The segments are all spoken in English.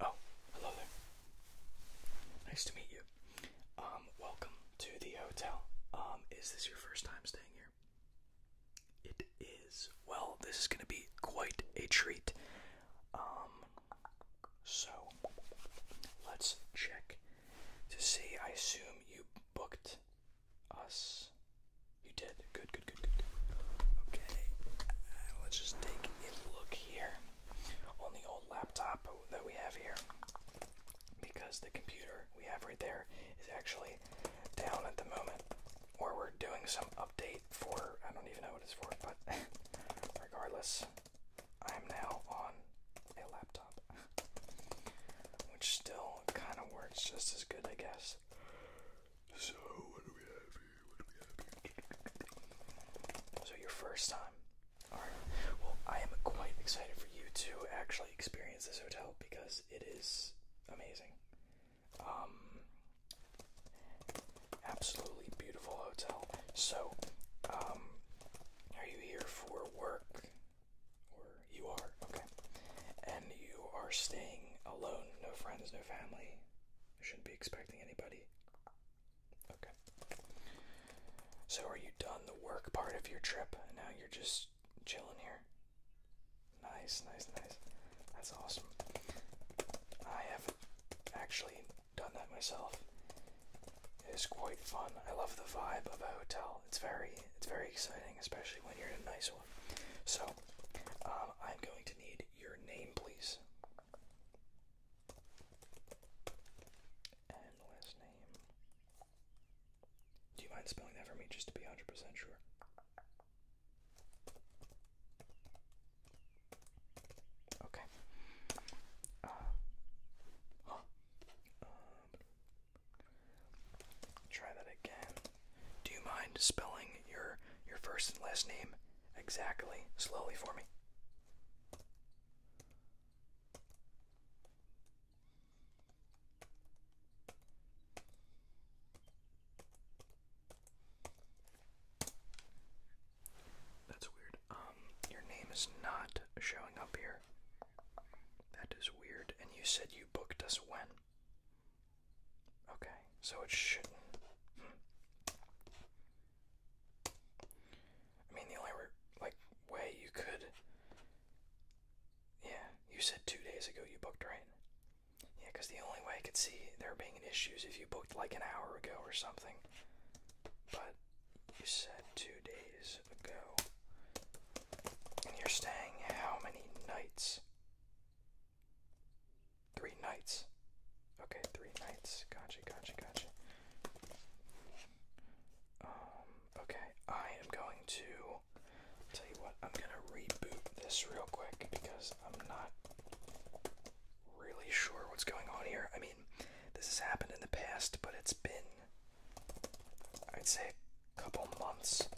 Oh, hello there. Nice to meet you. Um, welcome to the hotel. Um, is this your first time staying here? It is. Well, this is going to be quite a treat. Um, so let's check to see. I assume you booked us. You did. Good, good, good, good, Okay. Uh, let's just take a look here on the old laptop that we have here because the computer we have right there is actually down at the moment or we're doing some update for I don't even know what it's for but regardless I'm now on a laptop which still kind of works just as good I guess so what do we have here so your first time Alright, well, I am quite excited for you to actually experience this hotel because it is amazing. Um, absolutely beautiful hotel. So, um, are you here for work? Or you are? Okay. And you are staying alone, no friends, no family. shouldn't be expecting anybody. Okay. So, are you done the work part of your trip and now you're just chilling here? Nice, nice, nice. That's awesome. I have actually done that myself. It is quite fun. I love the vibe of a hotel. It's very, it's very exciting, especially when you're in a nice one. So, um, I'm going to need your name, please. And last name. Do you mind spelling that for me just to be 100% sure? Okay. Uh, um, try that again. Do you mind spelling your your first and last name exactly slowly for me? That's weird. Um, your name is not showing up here. That is weird. And you said you booked us when? Okay, so it should hmm. I mean, the only like way you could. Yeah, you said two days ago you booked, right? Yeah, because the only way I could see there being issues if you booked like an hour ago or something. But you said two days ago. And you're staying how many nights? Three nights. Okay, three nights. Gotcha, gotcha, gotcha. Um, Okay, I am going to tell you what, I'm gonna reboot this real quick because I'm not really sure what's going on here. I mean, this has happened in the past, but it's been, I'd say, a couple months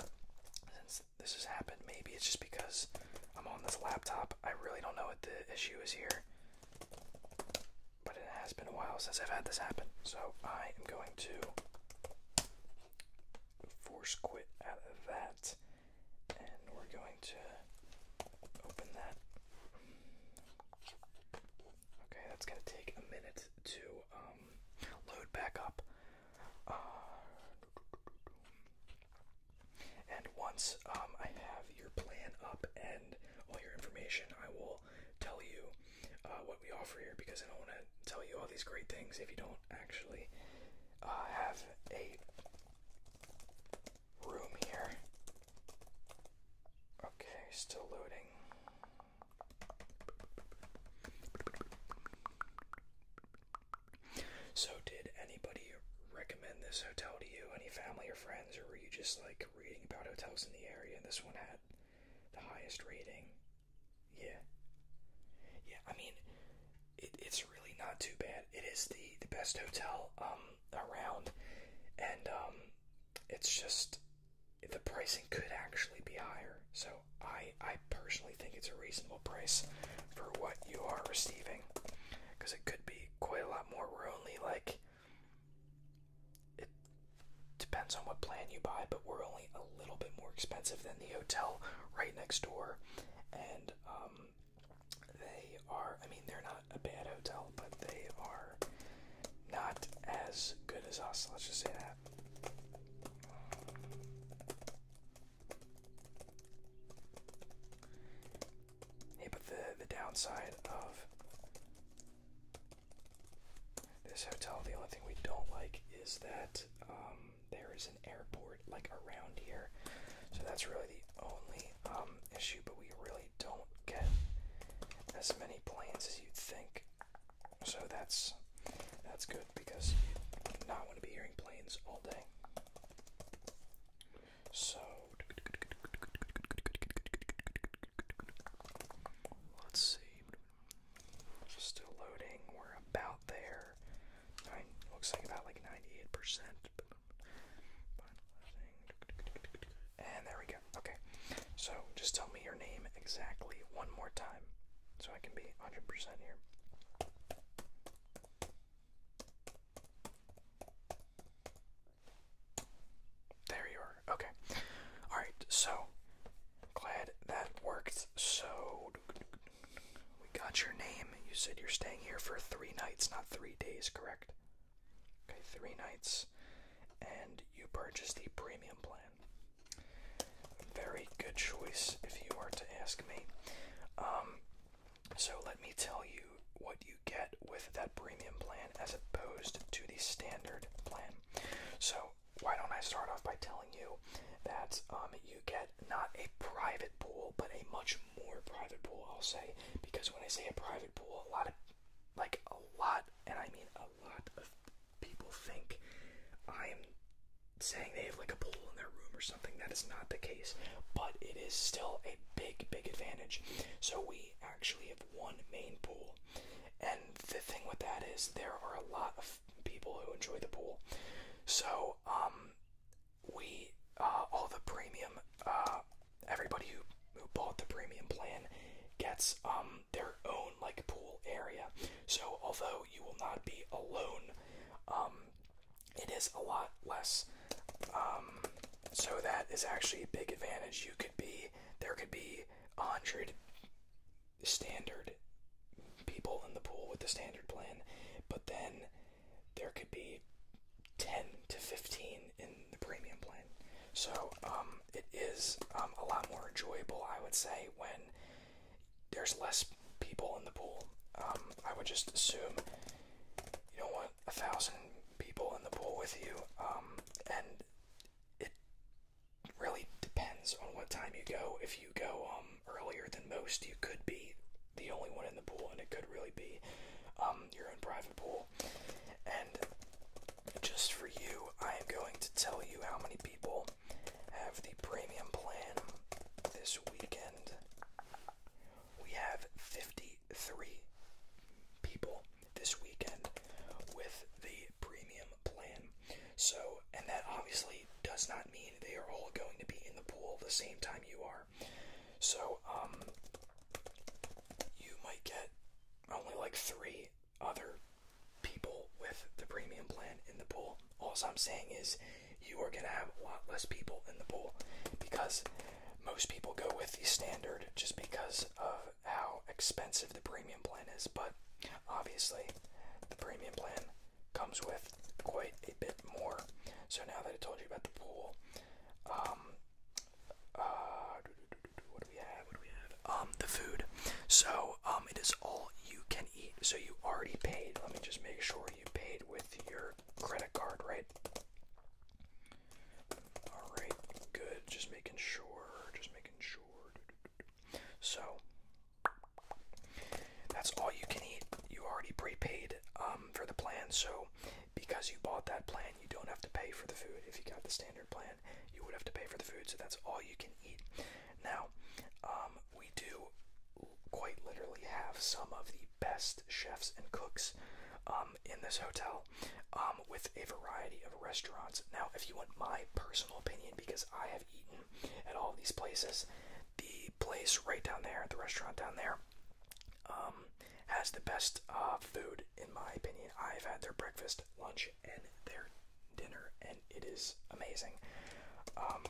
since this has happened. Maybe it's just because I'm on this laptop. I really don't know what the issue is here but it has been a while since I've had this happen, so I am going to force quit out of that, and we're going to open that. Okay, that's going to take a minute to um, load back up. Uh, and once um, I have your plan up and all your information, I will tell you uh, what we offer here because I don't want to tell you all these great things if you don't actually uh, have a room here. Okay, still loading. So, did anybody recommend this hotel to you? Any family or friends, or were you just like liked reading about hotels in the area, and this one had the highest rating. Yeah. Yeah, I mean, it, it's really not too bad. It is the, the best hotel um, around, and um, it's just the pricing could actually be higher. So I, I personally think it's a reasonable price for what you are receiving, because it could be quite a lot more. We're only like it depends on what plan you buy, but we're only a little bit more expensive than the hotel right next door. And um, they are, I mean, they're not a bad hotel, but they are not as good as us. Let's just say that. Yeah, but the the downside of this hotel, the only thing we don't like is that um, there is an airport like around here, so that's really the only um, issue. But we really don't get as many planes as you'd think, so that's that's good because you do not want to be hearing planes all day. So let's see. Still loading. We're about there. looks like about like 98%. And there we go. Okay. So just tell me your name exactly one more time so I can be 100% here. There you are. Okay. Alright, so glad that worked. So we got your name. You said you're staying here for three nights, not three days, correct? Okay, three nights. And you purchased the premium plan. Very good choice if you are to ask me. Um so let me tell you what you get with that premium plan as opposed to the standard plan. So, why don't I start off by telling you that um, you get not a private pool, but a much more private pool, I'll say, because when I say a private pool, a lot of, like a lot, and I mean a lot of people think I'm saying they have like a pool in their room or something. That is not the case, but it is still a big, big advantage. So we actually have one main pool. And the thing with that is there are a lot of people who enjoy the pool. So, um, we, uh, all the premium, uh, everybody who, who bought the premium plan gets, um, their own, like, pool area. So, although you will not be alone, um, it is a lot less um, so that is actually a big advantage. You could be there could be a hundred standard people in the pool with the standard plan, but then there could be ten to fifteen in the premium plan. So um, it is um, a lot more enjoyable, I would say, when there's less people in the pool. Um, I would just assume you don't want a thousand people in the pool with you, um, and it really depends on what time you go. If you go um, earlier than most, you could be the only one in the pool, and it could really be um, your own private pool. And just for you, I am going to tell you how many people have the premium plan this weekend. We have 50 three people this weekend with the premium plan. So, and that obviously does not mean they are all going to be in the pool the same time you are. So, um, you might get only like three other people with the premium plan in the pool. All I'm saying is you are going to have a lot less people in the pool because most people go with the standard just because of how expensive the premium plan is, but obviously the premium plan comes with quite a bit more. So now that I told you about the pool, um, uh, what do we have? What do we have? Um, the food. So um, it is all you can eat. So you already paid. Let me just make sure you paid with your credit card, right? All right, good. Just making sure. Just making sure. So that's all you can eat. You already prepaid um, for the plan, so because you bought that plan, you don't have to pay for the food. If you got the standard plan, you would have to pay for the food. So that's all you can eat. Now, um, we do quite literally have some of the best chefs and cooks um, in this hotel um, with a variety of restaurants. Now, if you want my personal opinion, because I have eaten at all these places, the place right down there, the restaurant down there, um, has the best uh, food in my opinion. I've had their breakfast, lunch, and their dinner, and it is amazing. Um,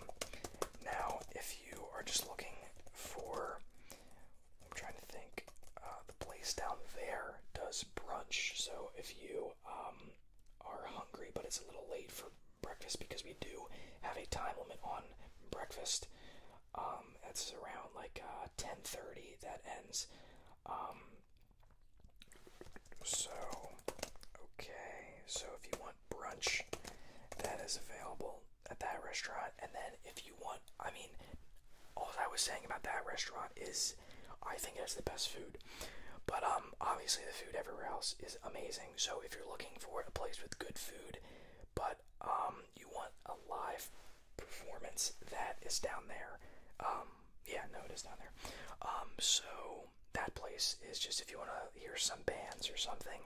now, if you are just looking for I'm trying to think. Uh, the place down there does brunch, so if you um, are hungry but it's a little late for breakfast because we do have a time limit on breakfast, um, that's around like 10:30 uh, that ends. Um, so okay, so if you want brunch, that is available at that restaurant. And then if you want, I mean, all I was saying about that restaurant is I think it's the best food. But um, obviously the food everywhere else is amazing. So if you're looking for a place with good food, but um, you want a live performance, that is down there. Um, yeah, no, it is down there. Um, so that place is just if you want to hear some bands or something.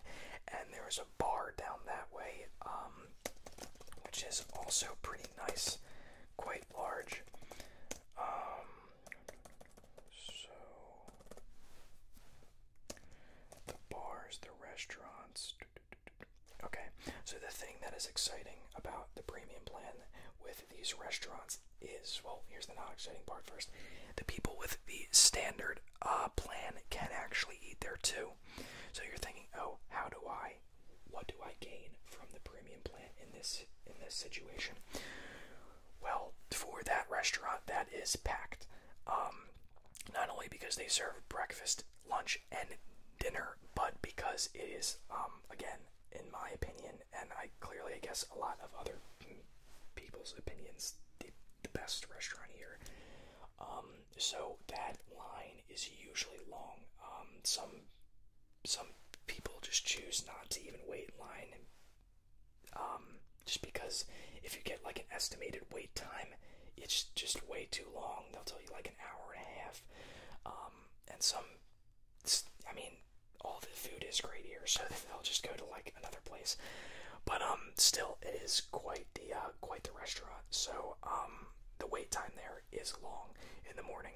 And there's. was bar down that way, um, which is also pretty nice, quite large. Um, so the bars, the restaurants. Okay, so the thing that is exciting about the premium plan with these restaurants is well, here's the not exciting part first. The people with the standard uh, plan can actually eat there too. So you're thinking, oh, how do I, what do I gain from the premium plan in this in this situation? Well, for that restaurant, that is packed. Um, not only because they serve breakfast, lunch, and dinner, but because it is, um, again, in my opinion, and I clearly, I guess, a lot of other people's opinions, the best restaurant here um, so that line is usually long. Um, some some people just choose not to even wait in line, um, just because if you get like an estimated wait time, it's just way too long. They'll tell you like an hour and a half. Um, and some, I mean, all the food is great here, so they'll just go to like another place. But um, still, it is quite the uh, quite the restaurant. So um, the wait time there is long in the morning,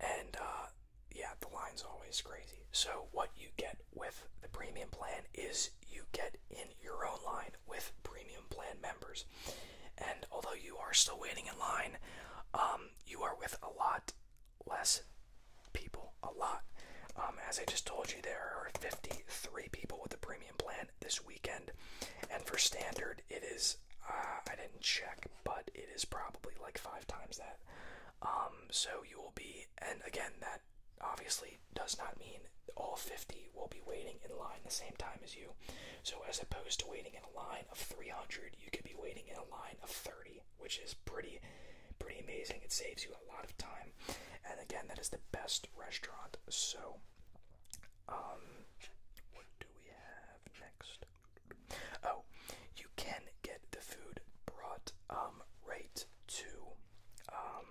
and uh, yeah, the line's always crazy. So what you get with the premium plan is you get in your own line with premium plan members, and although you are still waiting in line, um, you are with a lot less people a lot. Um, as I just told you, there are 53 people with the premium plan this weekend, and for standard, it is uh, I didn't check, but it is probably like five times that. Um, so you will be, and again, that obviously does not mean all 50 will be waiting in line the same time as you. So as opposed to waiting in a line of 300, you could be waiting in a line of 30 which is pretty pretty amazing. It saves you a lot of time. And again, that is the best restaurant. So um, what do we have next? Oh, you can get the food brought um, right to um,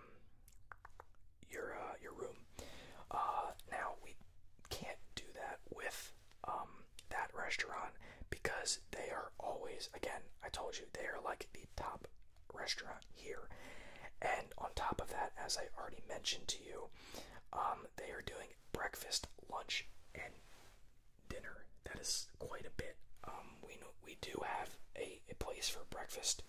your uh, your room. Uh, now we can't do that with that restaurant because they are always, again, I told you, they are like the top restaurant here. And on top of that, as I already mentioned to you, um, they are doing breakfast, lunch, and dinner. That is quite a bit. Um, we know, we do have a, a place for breakfast.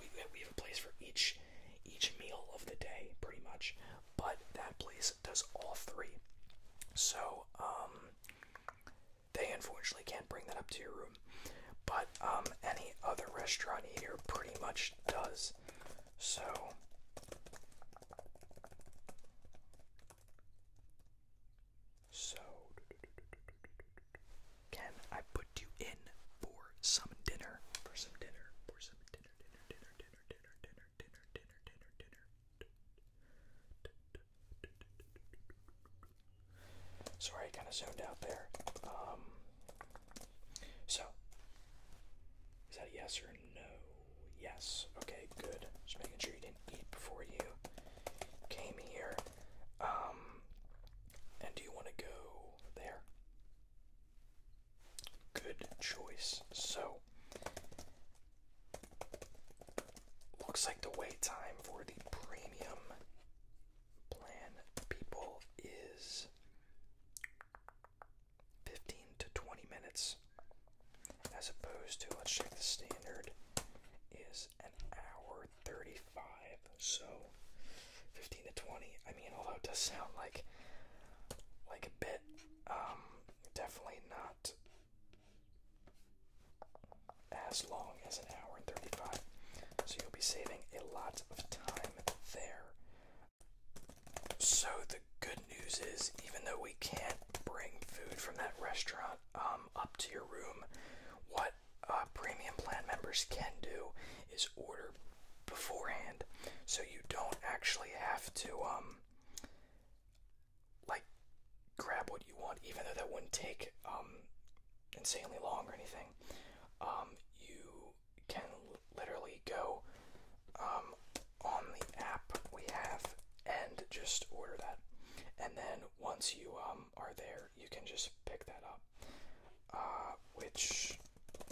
We we have a place for each each meal of the day, pretty much. But that place does all three. So um, they unfortunately can't bring that up to your room, but um, any other restaurant here pretty much does. So. So, can I put you in for some dinner? For some dinner, for some dinner, dinner, dinner, dinner, dinner, dinner, dinner, dinner, dinner, dinner, Sorry, I kind of zoned out there. Um, so, is that yes or no? Yes. Okay, good. Just making sure you didn't eat before you came here. Um, and do you want to go there? Good choice. So, Looks like the wait time for the premium plan people is 15 to 20 minutes, as opposed to, let's check the standard, is an hour 35. So 15 to 20, I mean, although it does sound like like a bit, um, definitely not as long as an hour and 35. So you'll be saving a lot of time there. So the good news is, even though we can't bring food from that restaurant um, up to your room, what uh, premium plan members can do is order beforehand, so you don't actually have to um, like grab what you want, even though that wouldn't take um, insanely long or anything. Um, you can literally go um, on the app we have and just order that. And then once you um, are there, you can just pick that up. Uh, which,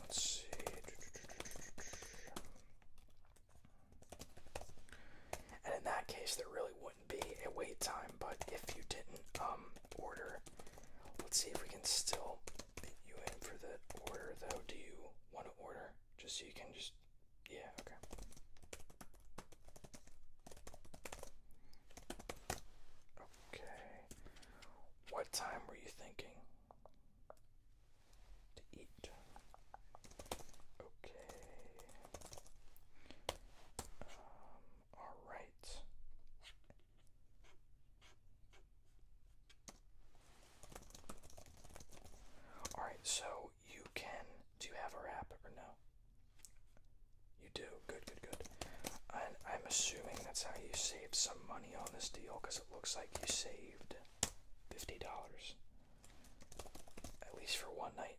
let's see. And in that case, there really wouldn't be a wait time. But if you didn't um, order, let's see if we can still get you in for the order, though. Do you want to order? Just so you can just. Yeah, okay. Okay. What time were you thinking to eat? Okay. Um, all right. Um, all right, so you can do you have a wrap or no? You do. Good, good, good. And I'm assuming that's how you saved some money on this deal because it looks like you saved $50. At least for one night.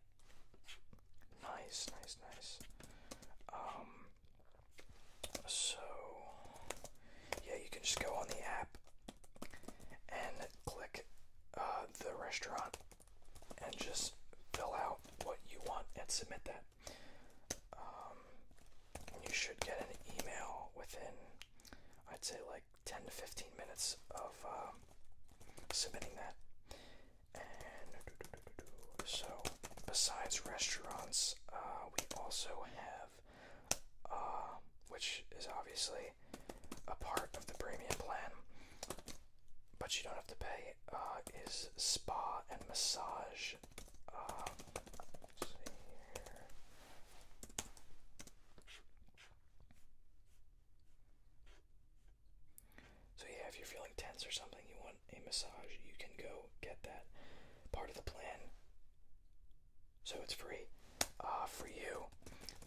Nice, nice, nice. Um, so, yeah, you can just go on the app and click uh, the restaurant and just fill out what you want and submit that. Um, you should get an email within, I'd say, like 10 to 15 minutes of um, submitting that. so, besides restaurants, uh, we also have, uh, which is obviously a part of the premium plan, but you don't have to pay, uh, is spa and massage. So, yeah, if you're feeling tense or something, you want a massage, you can go get that part of the plan. So, it's free uh, for you.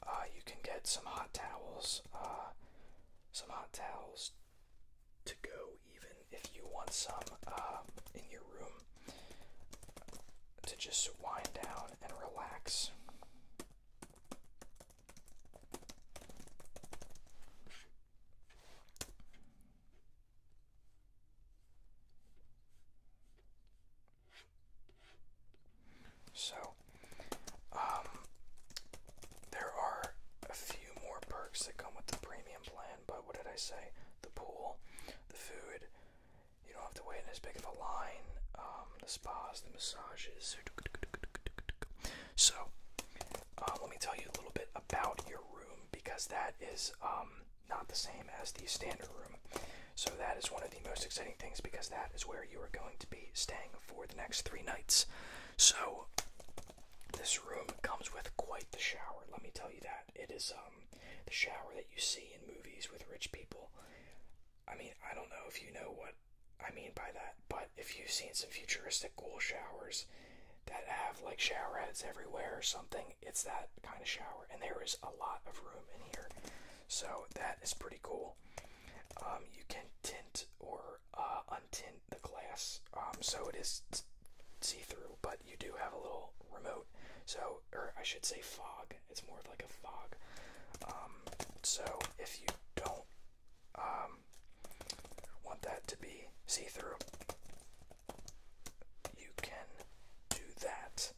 Uh, you can get some hot towels, uh, some hot towels to go, even if you want some uh, in your room to just wind down and relax. So, um, there are a few more perks that come with the premium plan, but what did I say? The pool, the food, you don't have to wait in as big of a line. Um, the spas, the massages. So, um, let me tell you a little bit about your room because that is um, not the same as the standard room. So, that is one of the most exciting things because that is where you are going to be staying for the next three nights. So, this room comes with quite the shower, let me tell you that. It is the shower that you see in movies with rich people. I mean, I don't know if you know what I mean by that, but if you've seen some futuristic cool showers that have like shower heads everywhere or something, it's that kind of shower. And there is a lot of room in here. So that is pretty cool. Um, you can tint or uh, untint the glass um, so it is see through, but you do have a little remote. So, or I should say fog it's more like a fog. Um, so if you don't um, want that to be see through, you can do that.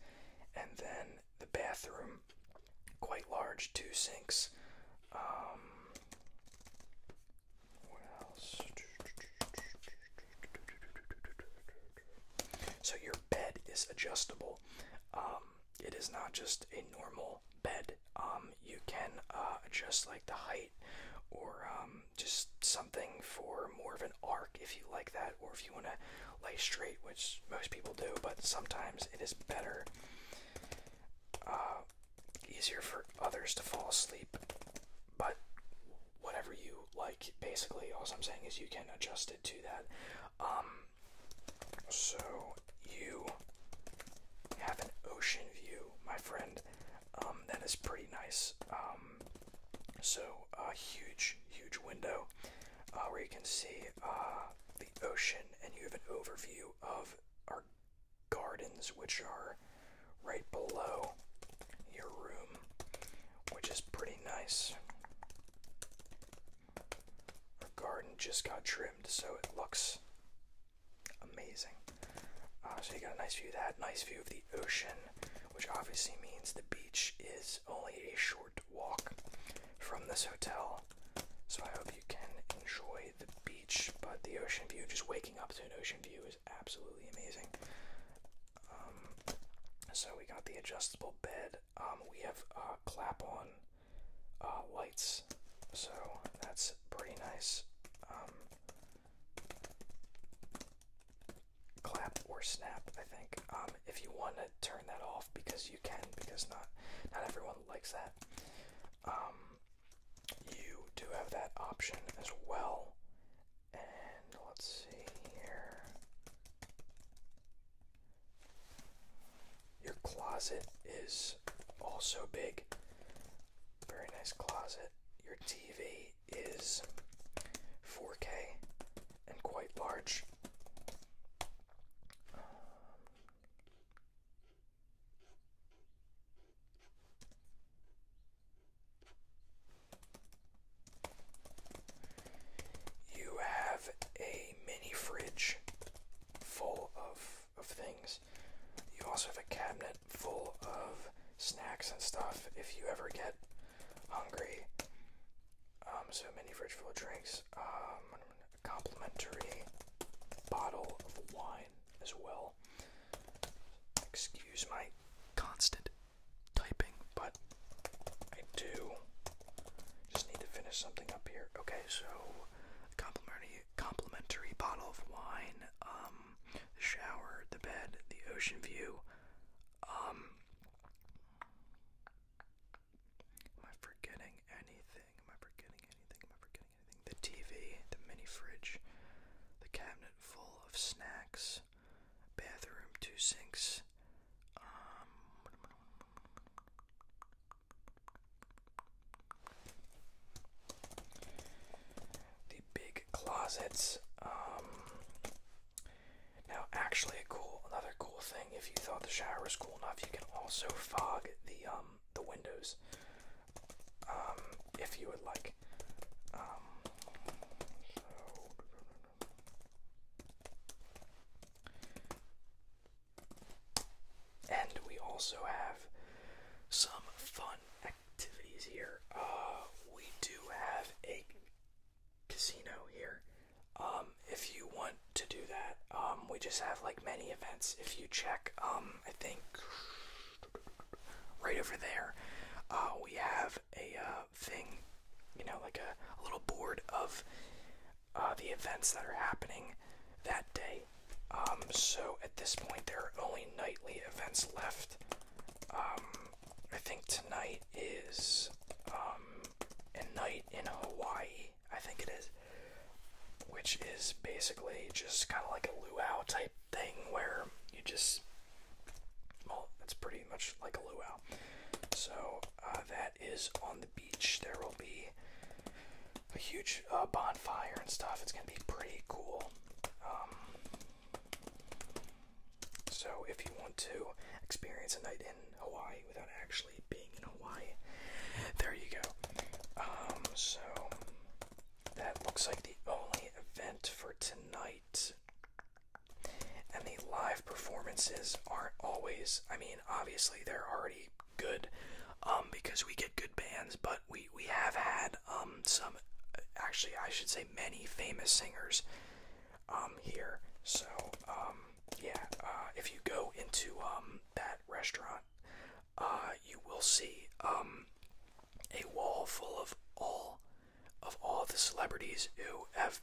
And then the bathroom, quite large, two sinks. Um, what else? So your bed is adjustable um, it is not just a normal bed. Um, you can uh, adjust like the height or um, just something for more of an arc if you like that, or if you want to lay straight, which most people do, but sometimes it is better, uh, easier for others to fall asleep. But whatever you like, basically, all I'm saying is you can adjust it to that. Um, so you have an ocean view, my friend. Um, that is pretty nice. Um, so a huge, huge window uh, where you can see uh, the ocean, and you have an overview of our gardens, which are right below your room, which is pretty nice. Our garden just got trimmed, so it looks amazing. Uh, so you got a nice view of that, nice view of the ocean, which obviously means the beach is only a short walk from this hotel. So I hope you can enjoy the beach, but the ocean view, just waking up to an ocean view is absolutely amazing. Um, so we got the adjustable bed, um, we have uh, clap on uh, lights, so that's pretty nice. Um, clap or snap, I think. Um, if you want to turn that off, because you can, because not not everyone likes that. you do have that option as well, and let's see here. Your closet is also big. Very nice closet. Your TV is 4K and quite large. You have a mini fridge full of, of things. You also have a cabinet full of snacks and stuff if you ever get hungry. Um, so, mini fridge full of drinks. Um, complimentary bottle of wine as well. Excuse my constant typing, but I do just need to finish something up here. Okay, so complimentary complimentary bottle of wine, um, the shower, the bed, the ocean view. Um Am I forgetting anything? Am I forgetting anything? Am I forgetting anything? The TV, the mini fridge, the cabinet full of snacks, bathroom, two sinks. Um, the big closets. Um, now, actually, cool another cool thing. If you thought the shower was cool enough, you can also fog the um the windows. Um, if you would like. Um, and we also have some fun activities here. Uh, we do have a casino here. Um, if you want to do that, um, we just have like many events. If you check, um, I think right over there, uh, we have a uh, thing, you know, like a, little board of uh, the events that are happening that day. Um, so at this point, there are only nightly events left. Um, I think tonight is um, a night in Hawaii, I think it is, which is basically just kind of like a luau type thing where you just well, it's pretty much like a luau. So uh, that is on the beach. There will be a huge uh, bonfire and stuff. It's gonna be pretty cool. Um, so if you want to experience a night in Hawaii without actually being in Hawaii, there you go. Um, so that looks like the only event for tonight. And the live performances aren't always, I mean, obviously they're already good um, because we get good bands, but we, we have had um, some, actually, I should say many famous singers um, here. So, um, yeah, uh, if you go into um, that restaurant, uh, you will see um, a wall full of all of all the celebrities who have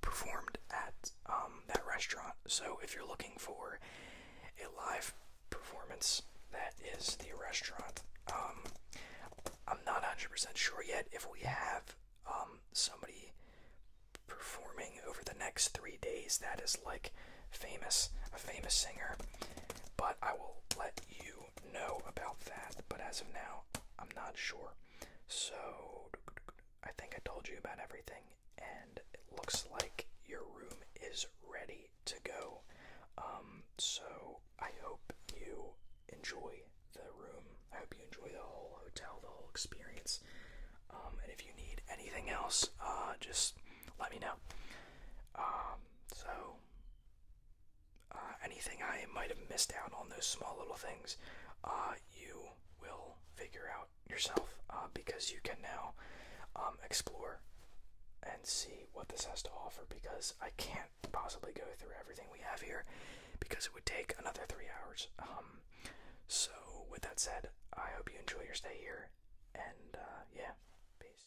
performed at um, that restaurant. So if you're looking for a live performance, that is the restaurant. Um, I'm not 100% sure yet if we have um, somebody performing over the next three days that is like famous, a famous singer, but I will let you know about that, but as of now, I'm not sure. So, I think I told you about everything, and it looks like your room is ready to go. Um, so, I hope you enjoy the room. I hope you enjoy the whole hotel, the whole experience. Um, and if you need anything else, uh, just let me know. Um, so, uh, anything I might have missed out on those small little things, uh, you will figure out yourself uh, because you can now um, explore and see what this has to offer because I can't possibly go through everything we have here because it would take another three hours. Um, so, with that said, I hope you enjoy your stay here and yeah, peace.